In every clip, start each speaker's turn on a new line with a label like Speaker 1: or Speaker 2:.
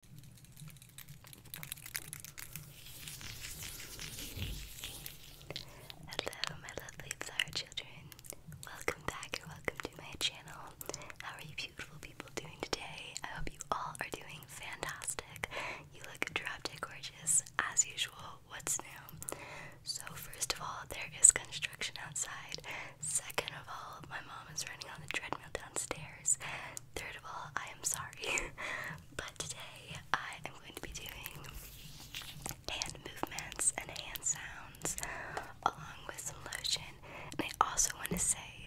Speaker 1: Hello, my lovely flower children. Welcome back or welcome to my channel. How are you, beautiful people, doing today? I hope you all are doing fantastic. You look drop dead gorgeous, as usual. What's new? So, first of all, there is construction outside. Second of all, my mom is running on the treadmill downstairs. Third of all, I am sorry, but today I am going to be doing hand movements and hand sounds along with some lotion. And I also want to say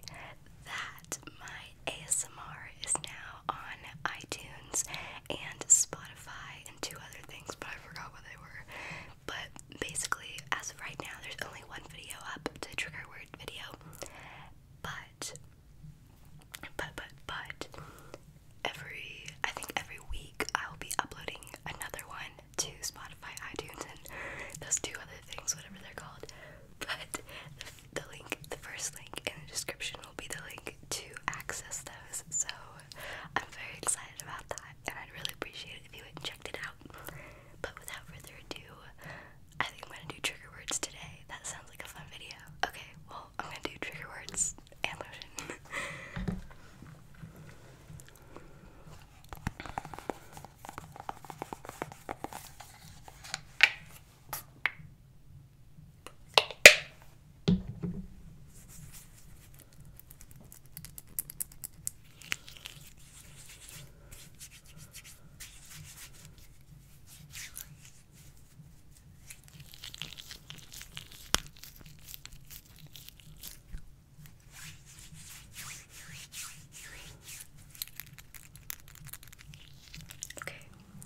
Speaker 1: that my ASMR is now on iTunes and Spotify and two other things, but I forgot what they were. But basically, as of right now, there's only one video up, the trigger word video, but but but but every I think every week I'll be uploading another one to Spotify, iTunes, and those two other things, whatever they're called. But the, the link, the first link in the description will be the link to access those. So I'm very excited about that, and I'd really appreciate it if you had checked it out. But without further ado, I think I'm gonna do trigger words today. That sounds like a fun video. Okay, well, I'm gonna do trigger words and lotion. Okay,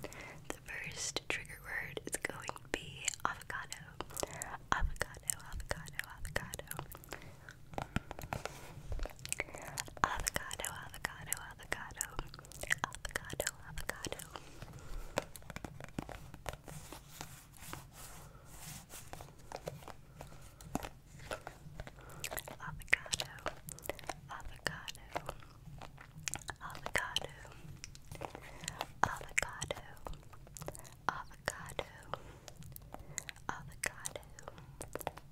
Speaker 1: the first trigger word is going to be avocado. Avocado, avocado, avocado. Avocado, avocado, avocado, avocado, avocado. Avocado, avocado, avocado, avocado, avocado,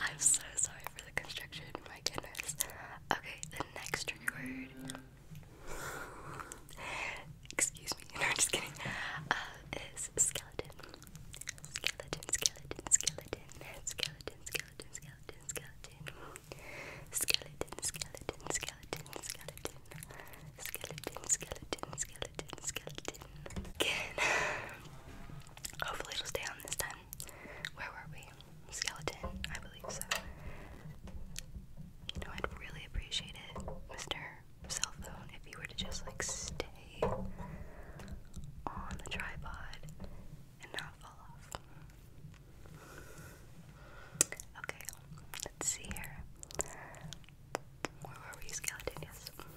Speaker 1: I'm so sorry for the construction, my goodness. Okay, the next trigger word. Excuse me, no, I'm just kidding. Uh, is skeleton. Skeleton, skeleton, skeleton, skeleton, skeleton, skeleton, skeleton. Skeleton, skeleton, skeleton, skeleton. Skeleton, skeleton, skeleton, skeleton. Hopefully it'll stay on this time. Where were we? Skeleton, I believe so. You know, I'd really appreciate it, Mr. Cell Phone, if you were to just like stay on the tripod and not fall off. Okay, let's see here. Where were we, skeleton?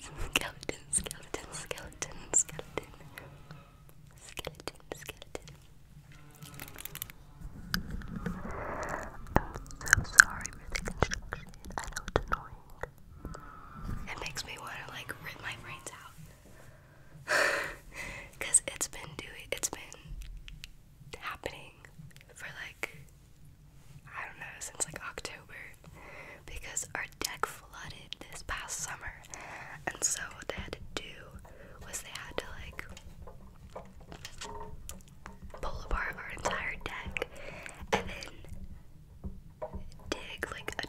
Speaker 1: skeleton, skeleton, skeleton, skeleton. Skeleton, skeleton. I'm so sorry for the construction. I know it's annoying. It makes me want to like rip my brains out. Cause it's been doing it's been happening for like I don't know since like October because our deck flooded this past summer and so what they had to do was they had to like pull apart our entire deck and then dig like a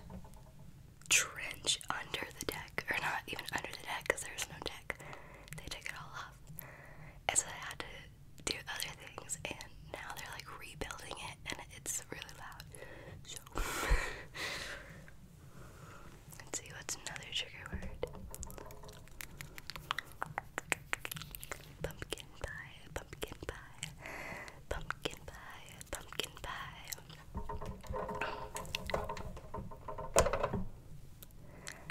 Speaker 1: trench under the deck or not even under the deck because there's no deck they take it all up off. I had to do other things, and now they're like rebuilding it, and it's really loud. So, let's see what's another trigger word. Pumpkin pie, pumpkin pie, pumpkin pie, pumpkin pie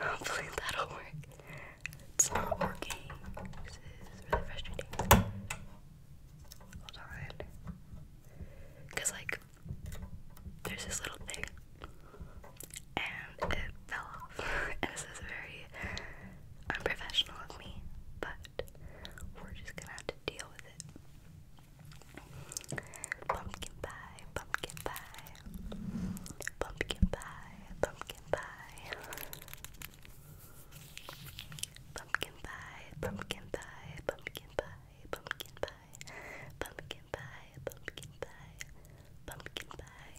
Speaker 1: Hopefully that'll work. It's not working. This is really frustrating. Hold on. Because, like, there's this little thing, and it fell off. and this is very unprofessional of me, but we're just gonna have to deal with it. Pumpkin pie, pumpkin pie, pumpkin pie, pumpkin pie, pumpkin pie, pumpkin pie, pumpkin pie, pumpkin pie, pumpkin pie, pumpkin pie, pumpkin pie. pie.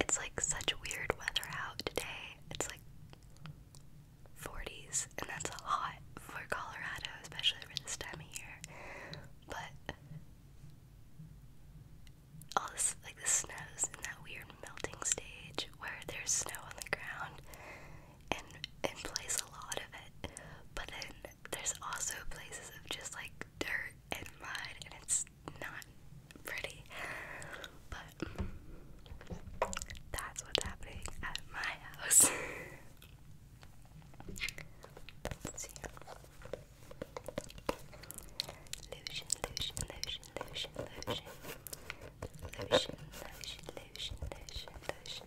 Speaker 1: It's like such weird weather out today. It's like 40s, and that's hot for Colorado, especially for this time of year. But all this, like the snow's in that weird melting stage where there's snow on the ground and and plays a lot of it, but then there's also places of just like dirt and mud, and it's not pretty. But that's what's happening at my house. Lotion, lotion, lotion, lotion, lotion. Lotion, lotion, lotion, lotion, lotion.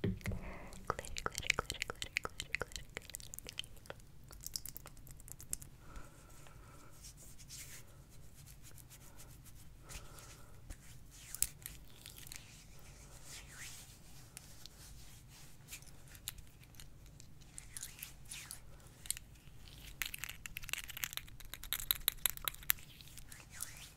Speaker 1: Glitter, glitter, glitter, glitter, glitter, glitter, glitter. Glitter, Okay,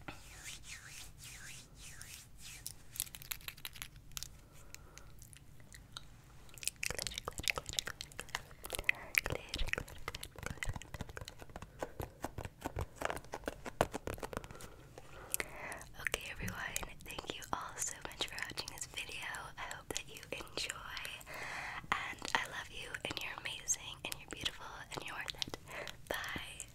Speaker 1: everyone, thank you all so much for watching this video. I hope that you enjoy, and I love you, and you're amazing, and you're beautiful, and you're worth it. Bye.